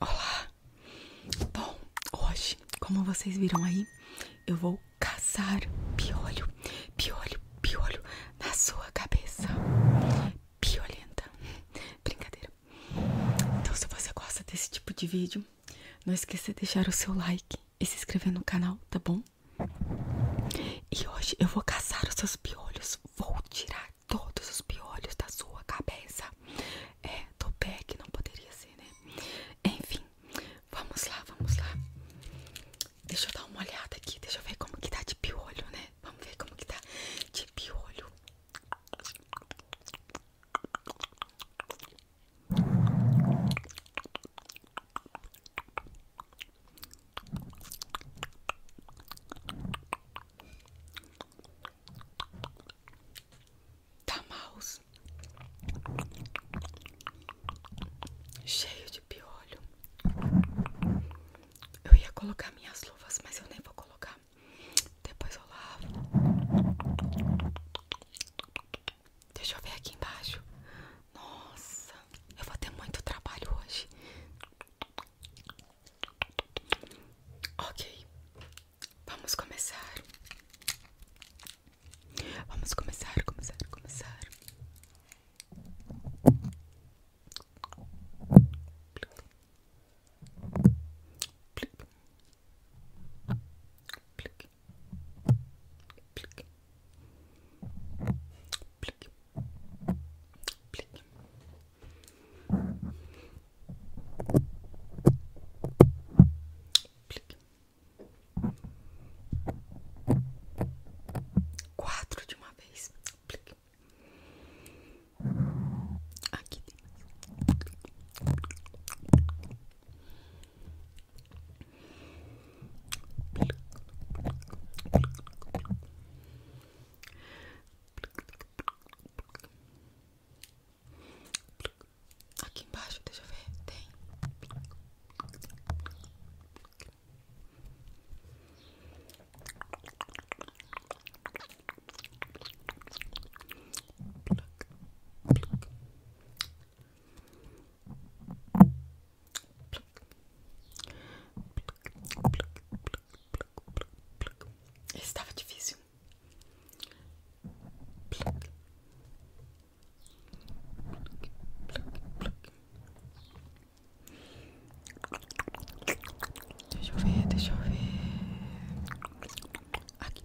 Olá! Bom, hoje, como vocês viram aí, eu vou caçar piolho, piolho, piolho na sua cabeça. Piolenta. Brincadeira. Então, se você gosta desse tipo de vídeo, não esqueça de deixar o seu like e se inscrever no canal, tá bom? E hoje eu vou caçar os seus piolhos. Vou tirar todos os piolhos da sua cabeça. É, do pé que não poderia ser, né? Enfim, vamos lá, vamos lá. Deixa eu dar uma olhada aqui. Deixa eu ver como que tá de piolho, né? Vamos ver como que tá de piolho. Tá mouse cheio de piolho. Eu ia colocar minhas luvas, mas eu nem vou colocar. Depois eu lavo. Deixa eu ver aqui embaixo. Nossa, eu vou ter muito trabalho hoje. Ok, vamos começar. Vamos começar, começar, começar. Plic. Plic. Plic. Plic. Plic. Plic. Quatro de uma vez. Plic. Aqui embaixo, deixa eu ver, tem. Esse estava difícil. Pluck. Pluck, pluck, pluck. Deixa eu ver, deixa eu ver. Aqui.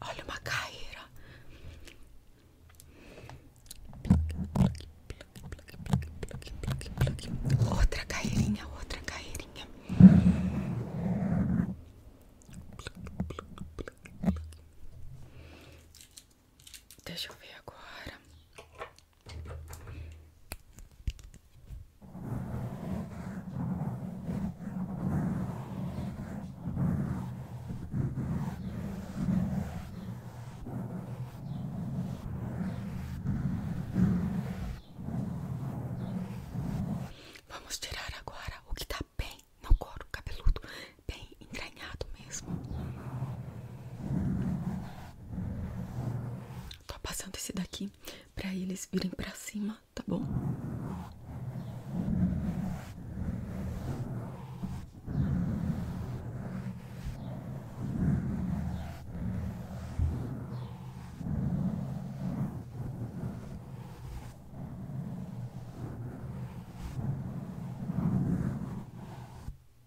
Olha uma carreira. Outra carreirinha, outra carreirinha. Deixa eu ver agora. Vamos tirar agora o que está bem no couro cabeludo, bem entranhado mesmo. Tô passando esse daqui pra eles virem pra cima, tá bom?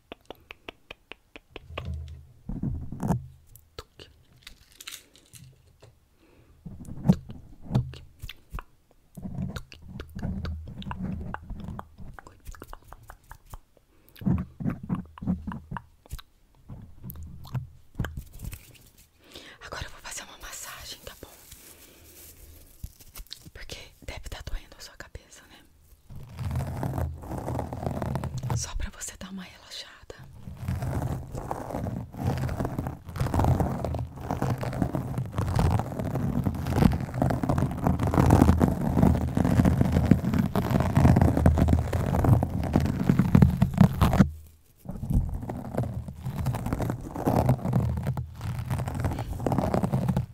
Tuque. Tuque, tuque. Tuque, tuque, tuque. Agora eu vou fazer uma massagem, tá bom? Porque deve estar tá doendo a sua cabeça, né? Só para você dar uma relaxada.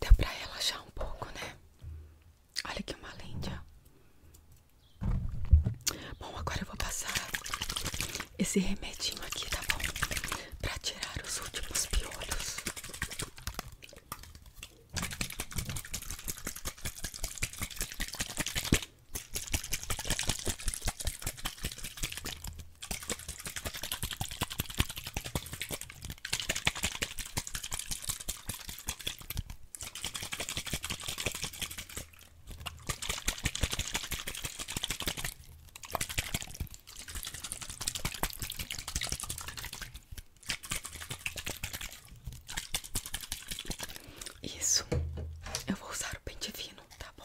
Deu pra relaxar um pouco, né? Olha que uma lente, Bom, agora eu vou passar esse remedinho aqui, tá bom? Pra tirar os últimos piolhos. Isso, eu vou usar o pente fino, tá bom?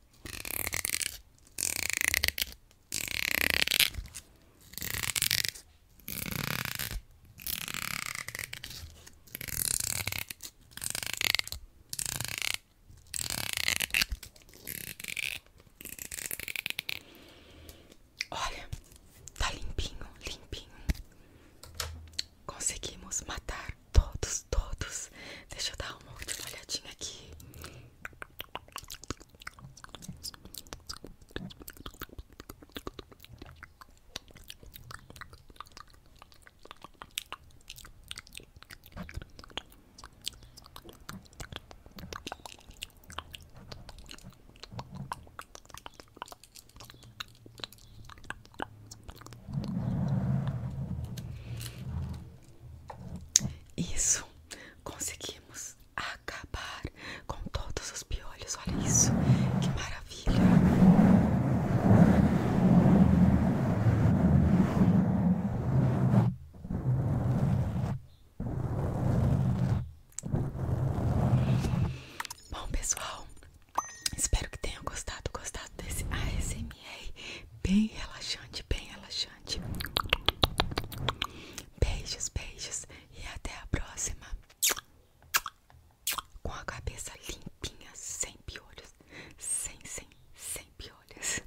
Olha, tá limpinho, limpinho. Conseguimos matar todos todos, Deixa eu dar uma última olhadinha aqui. Isso, conseguimos acabar com todos os piolhos. Olha isso, que maravilha! Bom, pessoal, espero que tenham gostado, gostado desse ASMR. Ah, ASMR bem relaxante, bem relaxante. Beijos, beijos e até a próxima. Com a cabeça limpinha, sem piolhos, sem, sem, sem piolhos.